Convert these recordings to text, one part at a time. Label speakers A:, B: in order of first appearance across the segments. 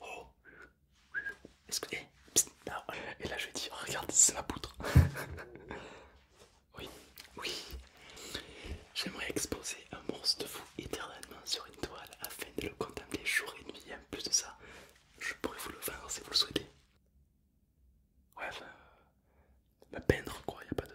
A: Oh Est-ce eh, Et là je lui dis, oh, regarde, c'est ma poutre. oui, oui. J'aimerais exposer un morceau de vous éternellement sur une toile afin de le contempler jour et nuit. en plus de ça, je pourrais vous le vendre si vous le souhaitez. Ouais, enfin, peindre quoi, pas de...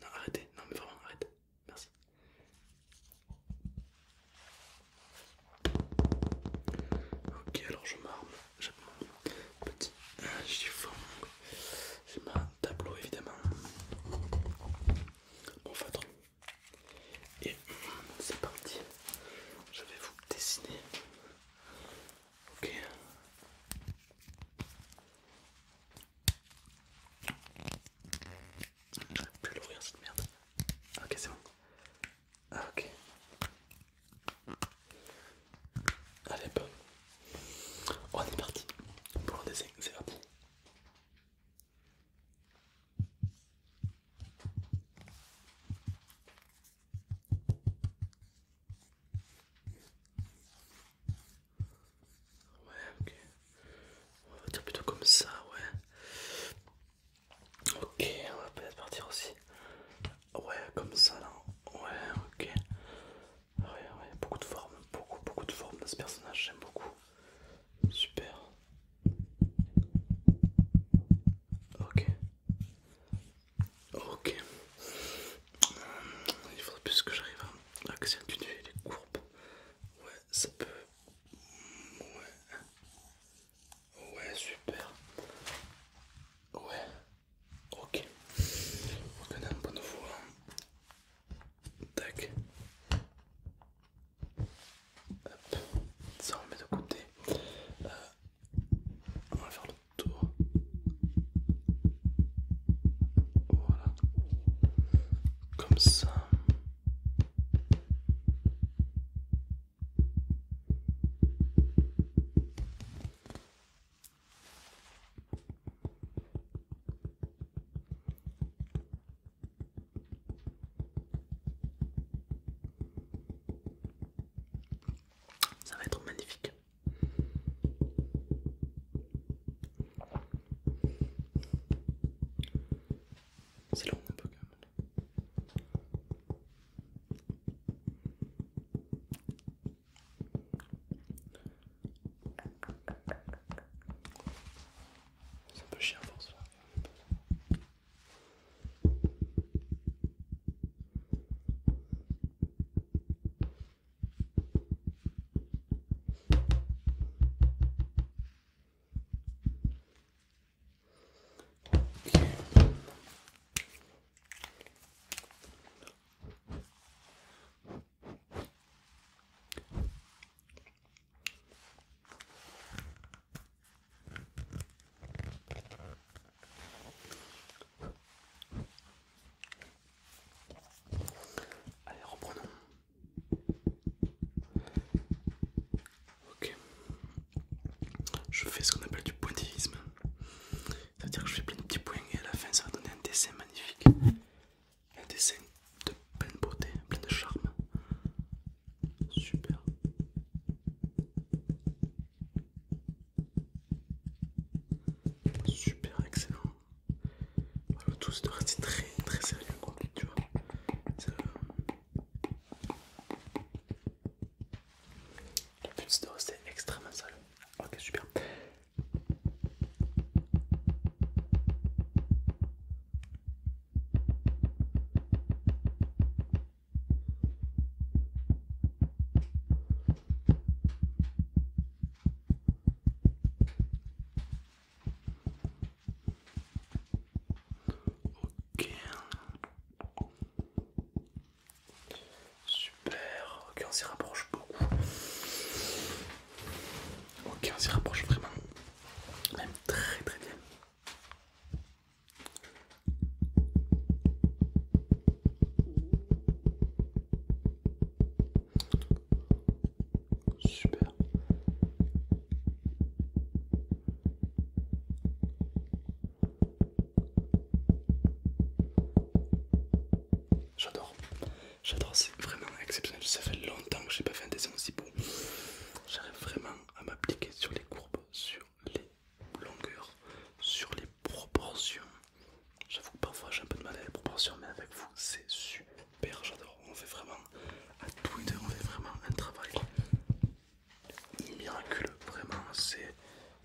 A: non, arrêtez, non mais vraiment arrête, merci. Ok alors je m'arme, j'apprends mon petit chiffon. Euh, c'est ma tableau évidemment, mon feutre. Et hum, c'est parti, je vais vous dessiner. Ok. Je vais l'ouvrir cette merde. Ah, ok, c'est bon. Ah, ok. Allez, bon. On est parti pour le dessin, c'est parti. Ouais, ok. On va dire plutôt comme ça, ouais. Ok, on va peut-être partir aussi. Ouais, comme ça là. Ouais, ok. Ouais, beaucoup de formes, beaucoup, beaucoup de formes dans ce personnage, j'aime beaucoup. Super. Ok. Ok. Il faudrait plus que j'arrive à accentuer les courbes. Ouais, ça peut. Ouais. Ouais, super. Ouais. Ok, on a un bon voix. Tac. Hop, ça on le met de côté. Euh, on va faire le tour. Voilà. Comme ça. Ça va être magnifique. C'est long un peu quand même. C'est un peu chiant pour cela. Allez, reprenons. Ok. Je fais ce qu'on appelle du pointillisme. C'est-à-dire que je fais plein de petits points et à la fin ça va donner un dessin magnifique. Un dessin de pleine beauté, plein de charme. Super. Super excellent. le tout c'est de rester très très sérieux quoi, tu vois. Euh, la petite dose, c'est extrêmement sale. Ok, super. Ok. Super. Ok, on s'y rapproche beaucoup. Ok, on s'y rapproche vraiment. Même très très bien. Super. J'adore, j'adore, c'est vraiment exceptionnel. Ça fait longtemps que j'ai pas fait un dessin aussi beau. J'arrive vraiment à m'appliquer sur les courbes, sur les longueurs, sur les proportions. J'avoue que parfois j'ai un peu de mal à les proportions, mais avec vous c'est super. J'adore, on fait vraiment à tous on fait vraiment un travail miraculeux, vraiment c'est...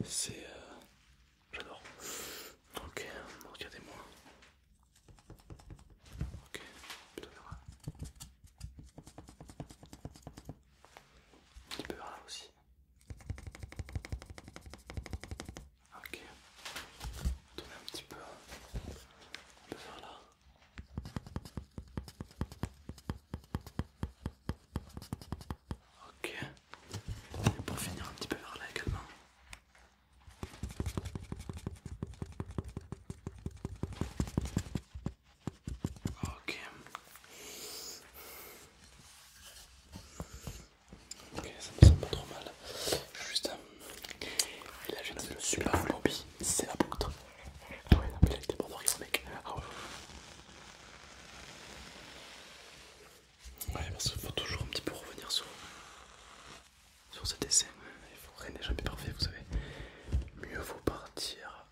A: c'est... Euh, j'adore. Ok, regardez-moi. Ok, plutôt Un petit peu vers là aussi. Ok, on un petit peu, peu là. Ok. Et pour finir un petit peu vers là également. Ok. Ok, ça me semble pas trop mal. Juste et là, je super suis Lobby, c'est la poutre. Ah ouais, la mais il a été mort mec. Ah ouais. Ouais, parce qu'il faut toujours un petit peu revenir sur, sur ce dessin. Il faut rien n'est jamais parfait, vous savez. Mieux vaut partir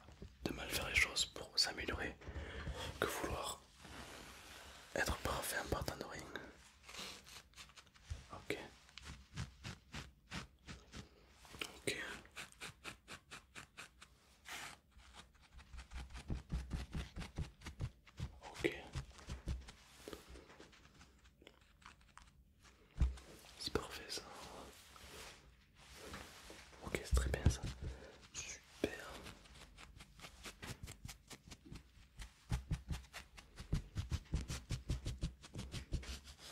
A: de mal faire les choses pour s'améliorer que vouloir être parfait en partant de rien. Ok. Ok. Ok. C'est parfait ça. Ok, c'est très bien ça. Super.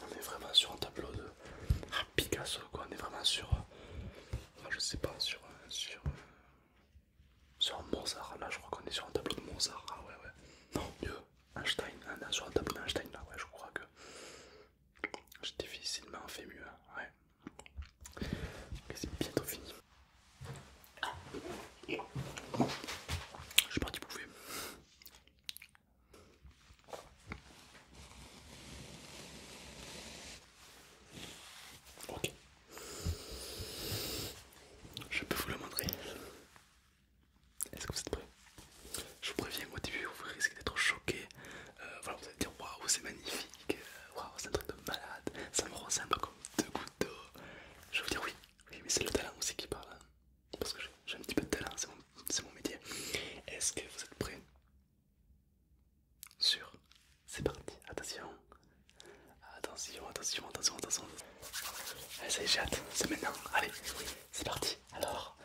A: On est vraiment sur un tableau de ah, Picasso, quoi. On est vraiment sur, euh, je sais pas, sur, euh, sur, euh, sur un Mozart. Là, je crois qu'on est sur un tableau de Mozart. Ah ouais, ouais. Non, mieux. Einstein, on hein, est sur un tableau d'Einstein. Là, ouais, je crois que j'ai difficilement fait mieux. Hein, ouais. C'est bientôt fini. Je suis parti bouffer. Ok. Je peux vous le montrer. Est-ce que vous êtes prêts Je vous préviens, au début, vous risquez d'être choqué. Euh, voilà, vous allez dire waouh, c'est magnifique, waouh, c'est un truc de malade, ça me ressemble comme deux gouttes d'eau. Je vais vous dire oui, oui mais c'est le talent aussi qui parle. Hein. Parce que j'ai un petit peu de talent, c'est mon, métier. Est-ce que vous êtes prêts Sur, c'est parti, attention. Attention, attention, attention, attention. Allez, eh, ça y est, j'ai c'est maintenant. Allez, c'est parti. Alors.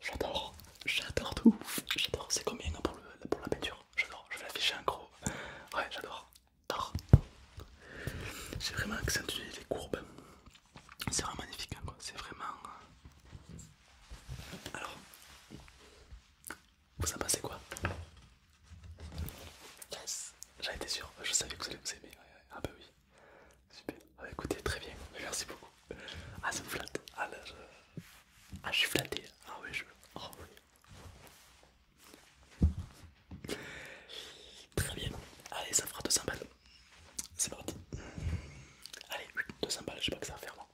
A: J'adore, j'adore tout. J'adore, c'est combien pour, la peinture J'adore, je vais l'afficher en gros. Ouais, j'adore. j'adore, J'ai vraiment accentué les courbes. C'est vraiment magnifique, hein, quoi. c'est vraiment... Euh, Alors, vous en pensez quoi Yes, j'en étais sûr, je savais que vous allez vous aimer. Ah bah oui, Super. Ah, bah, écoutez, très bien. Merci beaucoup. Ah, ça me flatte. Ah, je... Ah, suis flatté. Ah oh, oui, je... veux Très bien. Allez, ça fera 200 balles. C'est parti. Allez, 200 balles, je sais pas que ça va faire, moi.